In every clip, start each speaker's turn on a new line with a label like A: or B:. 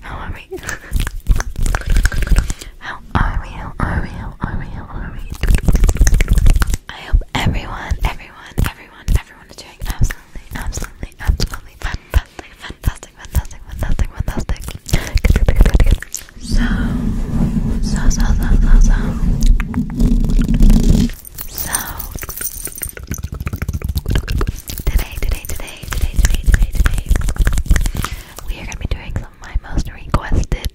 A: How are we? How are we? How are we? How are we? How are we? I hope everyone, everyone, everyone, everyone is doing absolutely, absolutely, absolutely fantastic, fantastic, fantastic, fantastic, fantastic. Good, good, good, good, good. So, so, so, so, so, so. So, today, today, today today, today, today, today, we are gonna be doing some of my most requested,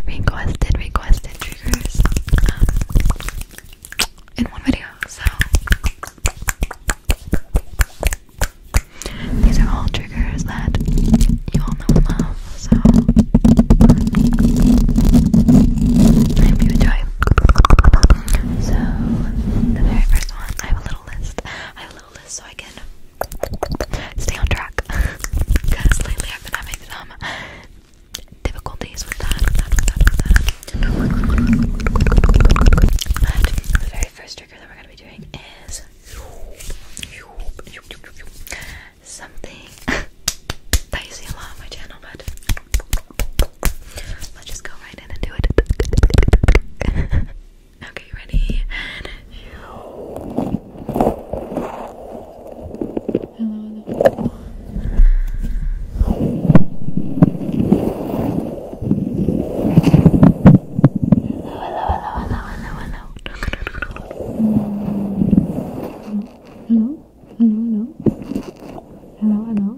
A: requested, requested triggers um, in one video. So these are all triggers that you all know and love. So I hope enjoy. So the very first one, I have a little list. I have a little list so I can stay on track. Because lately I've been having some difficulties with that. But the very first trigger that we're going to be doing is something that you see a lot on my channel, but let's just go right right in and do it. okay, ready? Hello, hello. Hello, hello, hello, hello, hello. Hello, hello, hello. Hello, hello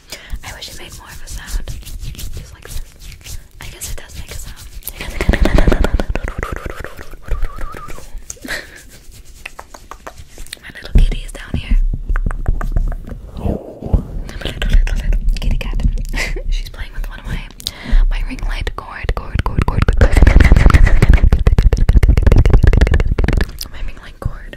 A: I wish it made more of a sound. Just like this. I guess it does make a sound. My little kitty is down here. My little, little, little kitty cat. She's playing with one of my, my ring light cord, cord, cord, cord, cord. My ring light cord.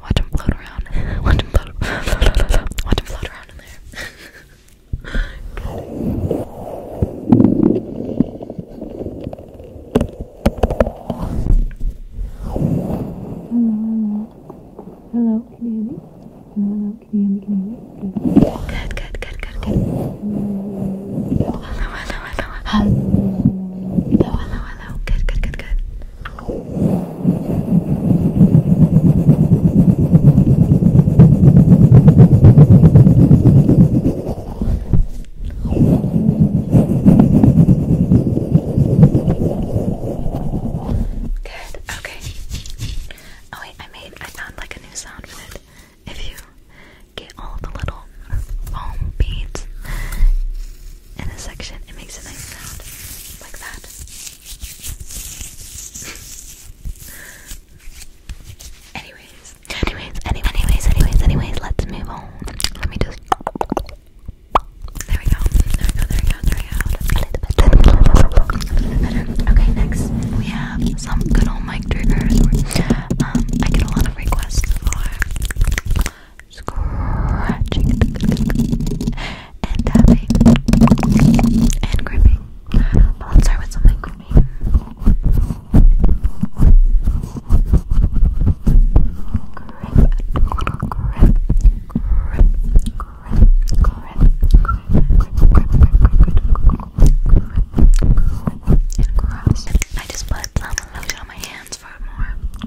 A: Watch him float around. Watch him float. Watch him float around in there. Hello, can you hear me? Hello, can you hear me? Can you hear me? Good, good, good, good, good. Hello, hello, hello. Hello, hello, hello. Good, good, good, good. Good. Okay. Oh wait, I made I found like a new sound with it. If you get all the little foam beads in a section, it makes a nice sound like that. anyways, anyways, anyways, anyways, anyways, anyways, let's move on. Let me just. There we go. There we go. There we go. There we go. Okay, next we have some good old mic triggers. Um, I get a lot of requests for scratching and tapping and gripping. start with something gripping. I just put some lotion on my hands for more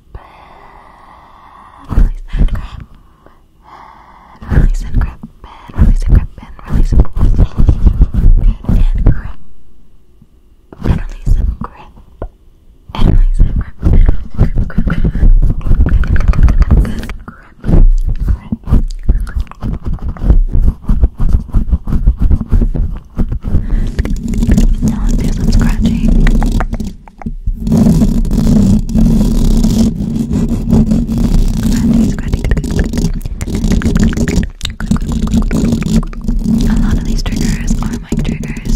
A: release and grab, and release and grab, and release and grab, and release and grab, and grab, and release and grab, and release and grab, and grab, grab, grab, grab, grab, grab, grab. I'll do some scratching. Scratching, A lot of these triggers are mic triggers.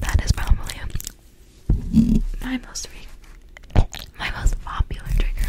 A: that is probably my most my most popular trigger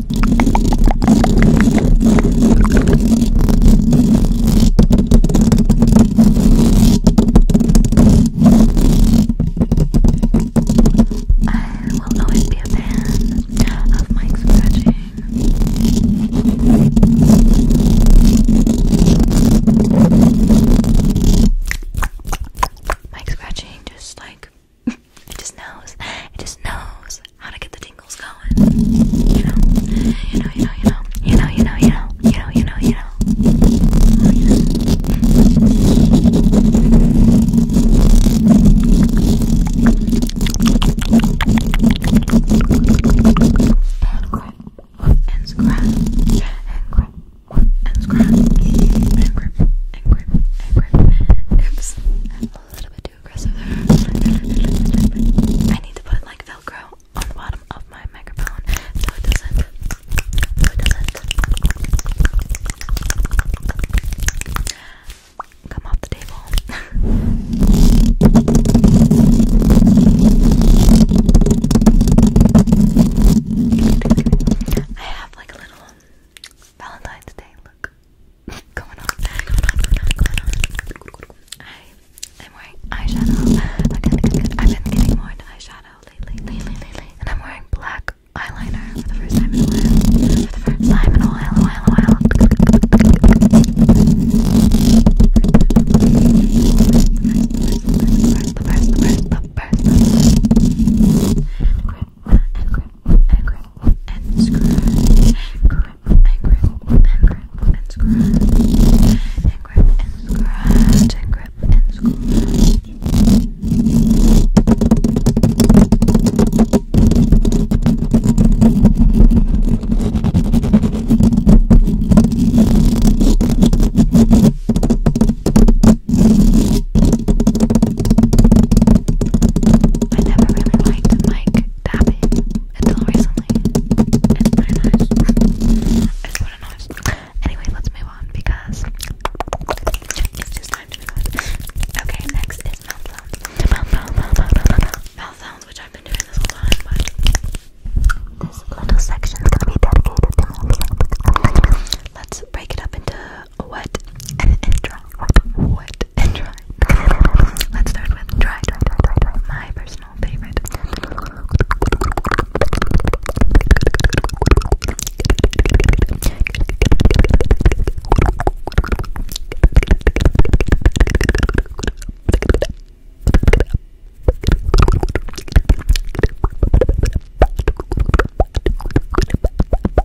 A: I will always be a fan of Mike's scratching. Mike scratching just like it just knows. It just knows how to get the tingles going. You know, you know, you know, you know, you know, you know, you know, you know, you know, you know. Oh, you know. And grip, and scratch, and grip, and scratch, and grip, and grip, and grip. Oops, a little bit too I need to put like Velcro on bottom of my microphone So it doesn't. Come off the table. I have like a little Valentine's Day look going on, I am wearing eyeshadow. I've been getting more eyeshadow lately, and I'm wearing black eyeliner for the first time in a while. the first The first, the first, the first, and grip and grip and scratch. Grip and grip and grip and scratch. And grip and scratch and grip and scratch. And I never really liked mic tapping until recently. It's pretty nice. It's pretty nice. Anyway, let's move on because it's just time to move on. Okay, next is mouth sounds. Mouth, sounds, which I've been doing this whole time, but this little section is gonna be dedicated to mouth Let's break it up into wet and dry. Wet and dry. Let's start with dry, dry, dry, dry, dry. My personal favorite.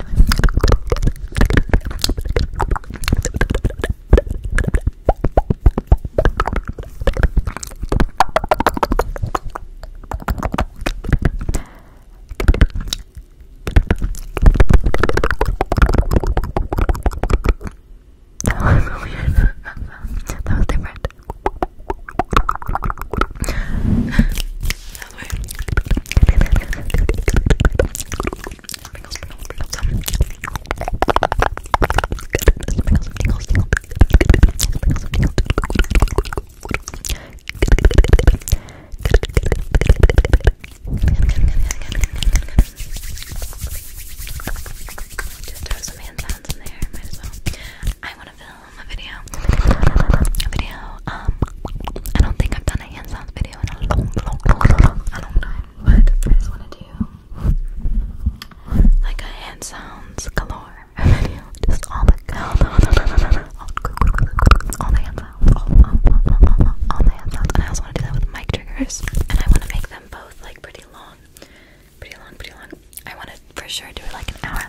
A: That was weird. that was different. Another way. Sprinkles, sprinkles, sprinkles. Sprinkles, sprinkles, sprinkles. Sprinkles, sprinkles. Just throw some hand sounds in there, might as well. I want to fill a video. A video. Um, I don't think I've done a hand sounds video in a long, long, long, long, long time. But I want to do like a hand sounds galore video. Just all the all the all the, hand sounds, all the hand sounds. And I also want to do that with mic triggers. And I want to make them both like pretty long, pretty long, pretty long. I want to for sure do like an hour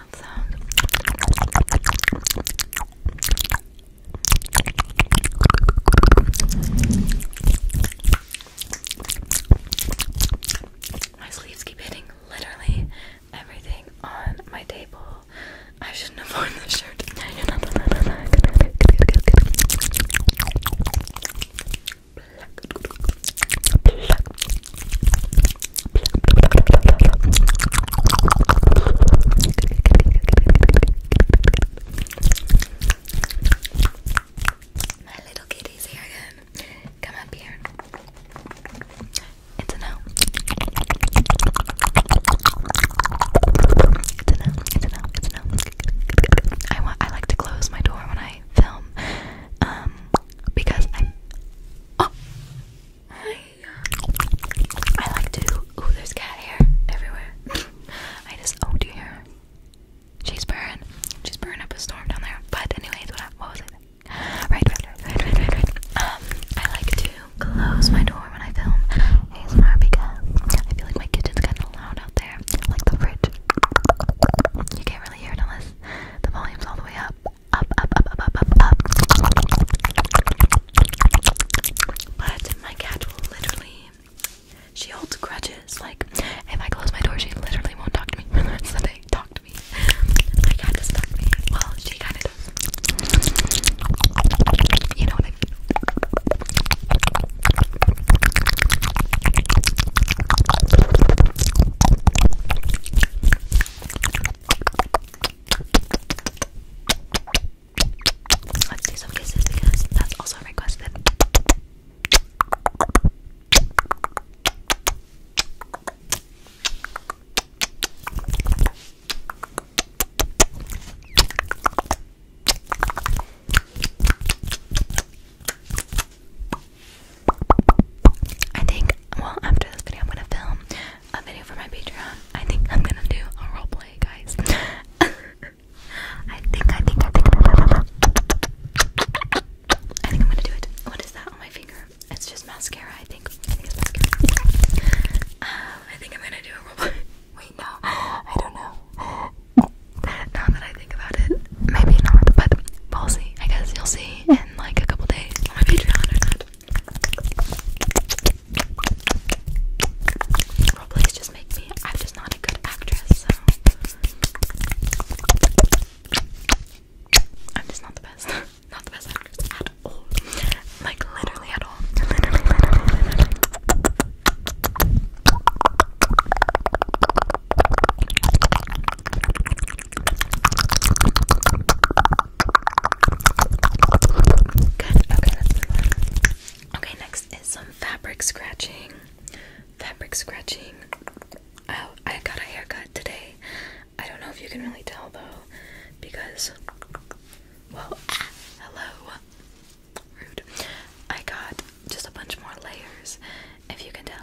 A: My sleeves keep hitting literally everything on my table. I shouldn't have worn this shirt. My little kitty's here Come up here. It's a no. It's a no. It's a no. I want. I like to close my door when I film, um, because I Oh. Hi. I like to. Ooh, there's cat hair everywhere. I just. Oh dear. She's burning. She's burning up a storm down there. But, anyways, what, was it? Right, right, right, right, right, Um, I like to close my door when I film ASMR because I feel like my kitchen's getting loud out there. Like the fridge. You can't really hear it unless the volume's all the way up. But my cat will literally, she holds grudges. Like, if I close my door, she literally won't talk to me for Talk to me. My cat doesn't talk to me. Well, she does. You know what I mean? Let's do some kisses because that's also requested. I think, well, after this video, I'm gonna film a video for my Patreon. I think I'm gonna do a roleplay, guys. I think, I think, I think, I think I'm gonna do it. What is that on my finger? It's just mascara, I think. I think um, I'm gonna do a roleplay. Wait, no, I don't know. Now that I think about it, maybe not, but we'll see. I guess you'll see in like a couple days on my Patreon or just make me, I'm just not a good actress, I'm just not the best. not the best actress at all. Like, literally at all. Literally, literally, literally. Okay, next is some fabric scratching. Fabric scratching. Oh, I got a haircut today. I don't know if you can really tell though, because well, hello. Rude. I got just a bunch more layers, if you can tell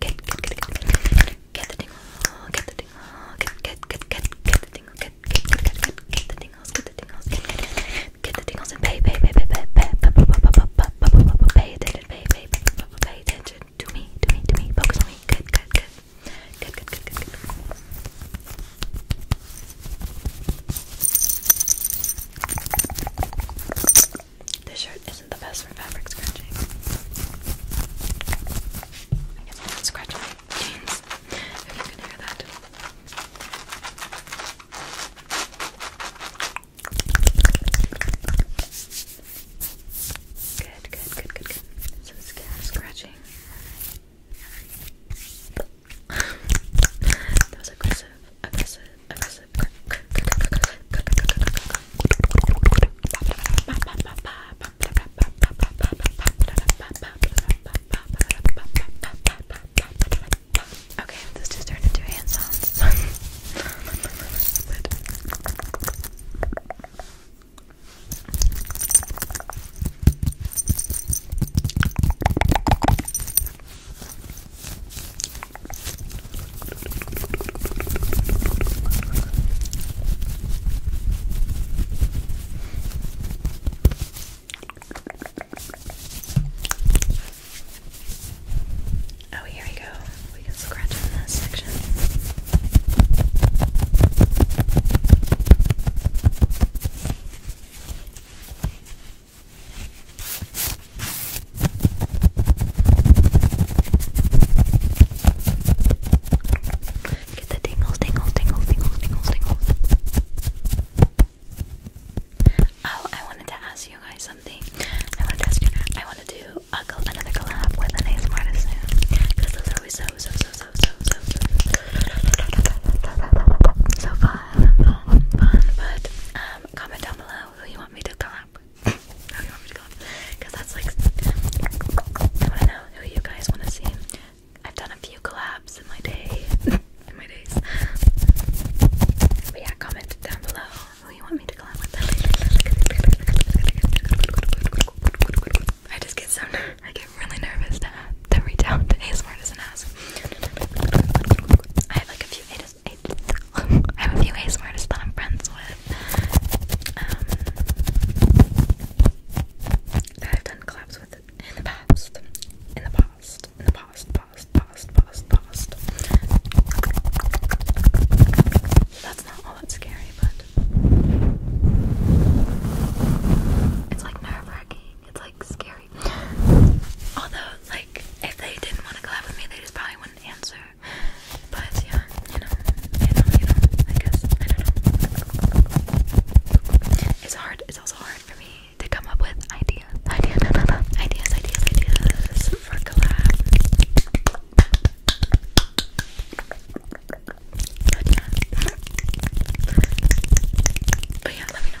A: get, get, get, get, get the tingle, get the tingle, get, get, get, get, get the tingle, get, get, get, get, get, get the tingles, get the tingles, get, get, get, get the tingles, and pay, pay, pay, pay, pay, pay, pay attention, pay, pay, pay attention to me, to me, to me, focus on me, good, good, good, good, good, good, good, good. This shirt isn't the best for fabric scratching. I guess I can scratch jeans. If you can hear that. Good, good, good, good, good. So scratching. that was aggressive aggressive, aggressive, Okay, this just turned into hand sounds. Oh, here we go. We can scratch in this section. Get the tingles, tingles, tingles, tingles, tingles, tingles. Oh, I wanted to ask you guys something. I wanted to ask you. I want to do a, another collab with an ASMR artist soon. Because those are always so, so, so, so, so, so, so, fun, fun, But comment down below who oh, you want me to collab who oh, you want me to collab Because that's like, I want to know who you guys want to see. I've done a few collabs in my day, in my days. But yeah, comment down below who you want me to collab with. I just get so I get really nervous to, to reach out to ASMR doesn't ask. I have like a few just I, I have a few ASMR artists that I'm friends with. Um, that I've done collabs with in the past. In the past. In the past. Past. Past. Past. Past. That's not all that scary, but it's like nerve-wracking. It's like scary Although, like, if they didn't want to collab with me, they just probably wouldn't answer. But yeah, you know, you know, you know, I guess, I don't know. It's hard, it's also hard for me to come up with ideas, ideas, ideas, ideas, for collabs. but yeah, let me know.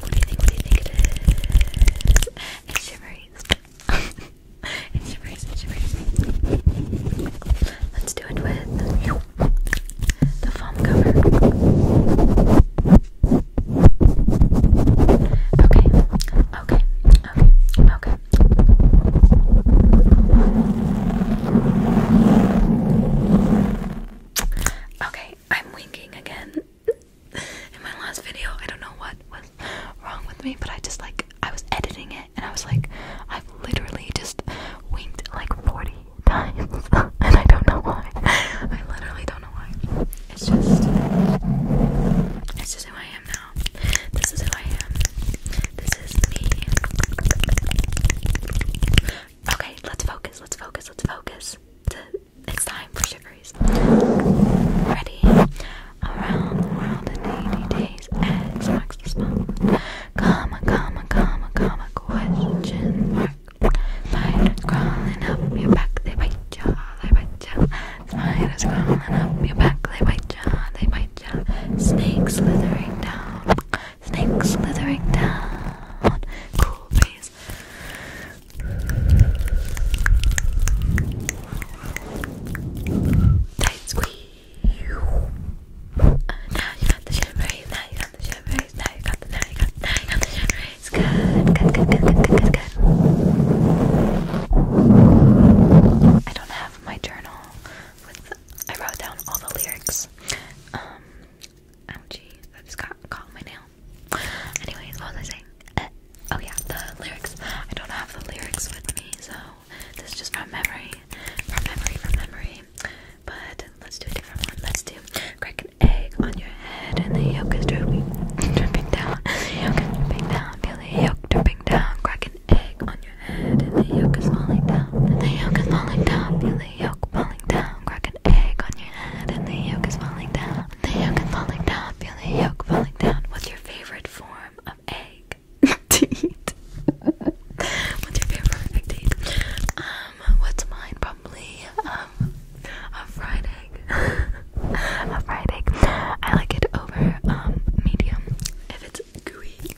A: What do you think? What do you think it is? It shivers. it shivers. It shivers. Let's do it with the foam cover. Okay. Okay. Okay. Okay. Okay, I'm winking again in my last video. I don't know what was wrong with me, but I just like I was editing it and I was like, i literally just winked like 40 times, and I don't know why. I literally don't know why. It's just, it's just who I am now. This is who I am. This is me. Okay, let's focus. Let's focus. Let's focus. It's time for sugars. Ready? Around the world in 80 days. X marks the spot. Comma, comma, comma, comma, question mark. Spiders crawling up your back, they bite ya, they bite ya. Spiders crawling up your back, they bite ya, they bite ya. Snakes slithering down, snakes slithering down. Cool face Tight squeeze. Uh, now you got the shimmery, now you got the shimmery, now you got now you got now you got the shimmery. It's good, I don't have my journal I wrote down all the lyrics. Um, ouchie, I just got caught my nail. Anyways, what was I uh, oh yeah, the lyrics. I don't have the lyrics with me, so this is just from memory, from memory, from memory. But let's do a different one. Let's do crack an egg on your head and the yolk is dripping, dripping down. The yolk is dripping down. Feel yolk dripping down. Crack an egg on your head and the yolk is falling down. And the yolk is falling down. Feel yolk falling down. Crack egg on your head and the yolk is falling down. The yolk is falling down. Feel the yolk falling down. What's your favorite form of egg to eat? What's your favorite egg to eat? Um, what's mine? Probably um a fried egg. a fried egg. I like it over um, medium. If it's gooey,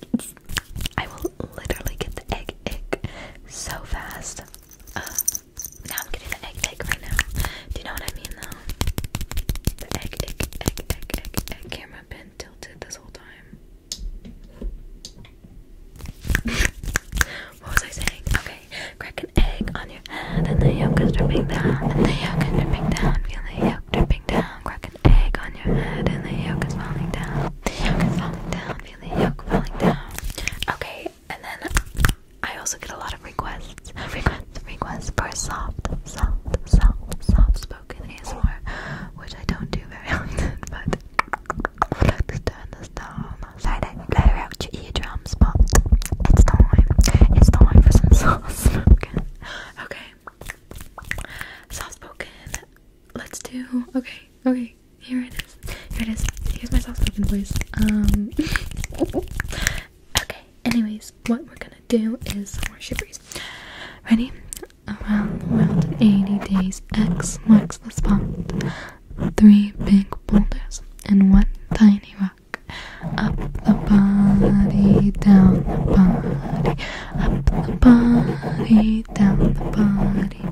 A: I will literally get the egg ick so fast. I'm getting the egg egg right now. Do you know what I mean though? egg egg egg egg egg camera been tilted this whole time. what was I saying? Okay, crack an egg on your head and the yolk is dripping down. And the yolk is dripping down. Feel the yolk dripping down. Crack an egg on your head and the yolk is falling down. The yolk is falling down completely yolk falling down. Okay, and then I also get a lot of requests, requests, requests for soft, soft, soft, soft spoken ASMR, which I don't do very often, but I like to turn this down. Friday, blare out your eardrums, but it's time. It's time for some soft spoken. Okay. Soft spoken. Let's do okay, okay, here it is. Here it is. Excuse myself spoken please. Um Okay, anyways, what we're gonna do is some more shivers. Ready? Around the world in 80 days, X marks the spot. Three big boulders and one tiny rock. Up the body, down the body, up the body, down the body.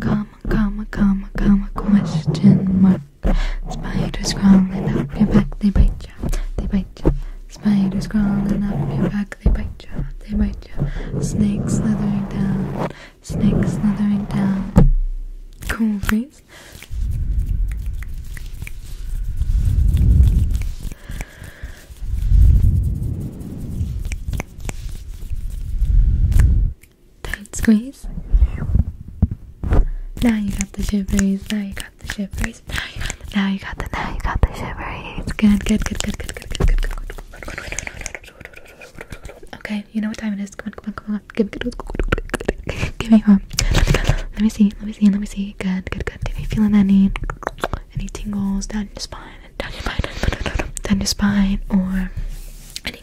A: comma, comma, comma, comma, question mark. Spiders crawling up your back, they bite ya, they bite ya. Spiders crawling up your back, they bite ya, they bite ya. Snakes slithering down, snakes slithering down. Cool breeze. Tight squeeze. Now you got the shivers. Now you got the shivers. Now you got the. Now you got the. Now you got the shivers. Good. Good. Good. Good. Good. Good. Good. Good. Good. Good. Okay. You know what time it is. Come on. Come on. Come on. Give me. Give me one. Let me see. Let me see. Let me see. Good. Good. Good. Are you feeling any any tingles down your spine? Down your spine. Down your spine. Or any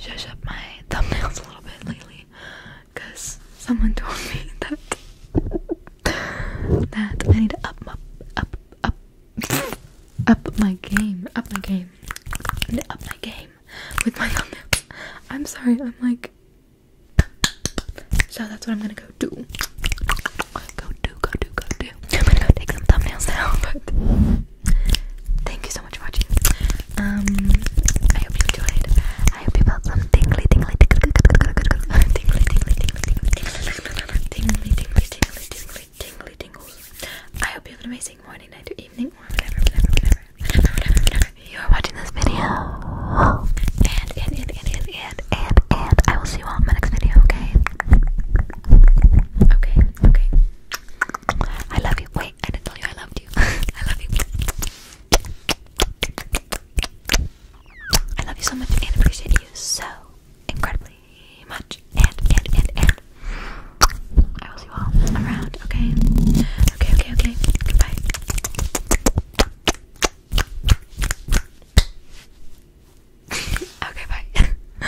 A: zhuzh up my thumbnails a little bit lately because someone told me that that I need to up my up up up my game up my game up my game with my thumbnails. I'm sorry, I'm like so that's what I'm gonna go do. Go do, go do, go do. I'm gonna go take some thumbnails now, but Thank you so much for watching. Um, I hope you enjoyed. I hope you felt some tingly, tingly, tingly, tingly, tingly, tingly, tingly, tingly, tingly, tingly, tingly, tingles. I hope you have an amazing morning, night, or evening, or whatever, whatever, whatever, whatever, whatever, whatever. You are watching this video. And, and, and, and, and, and, and, and I will see you all in my next video, okay? Okay, okay. I love you. Wait, I didn't tell you I loved you. I love you. I love you so much and appreciate you so incredibly much. And, and, and, and. I will see you all around, okay? Okay, okay, okay. Goodbye. okay, bye.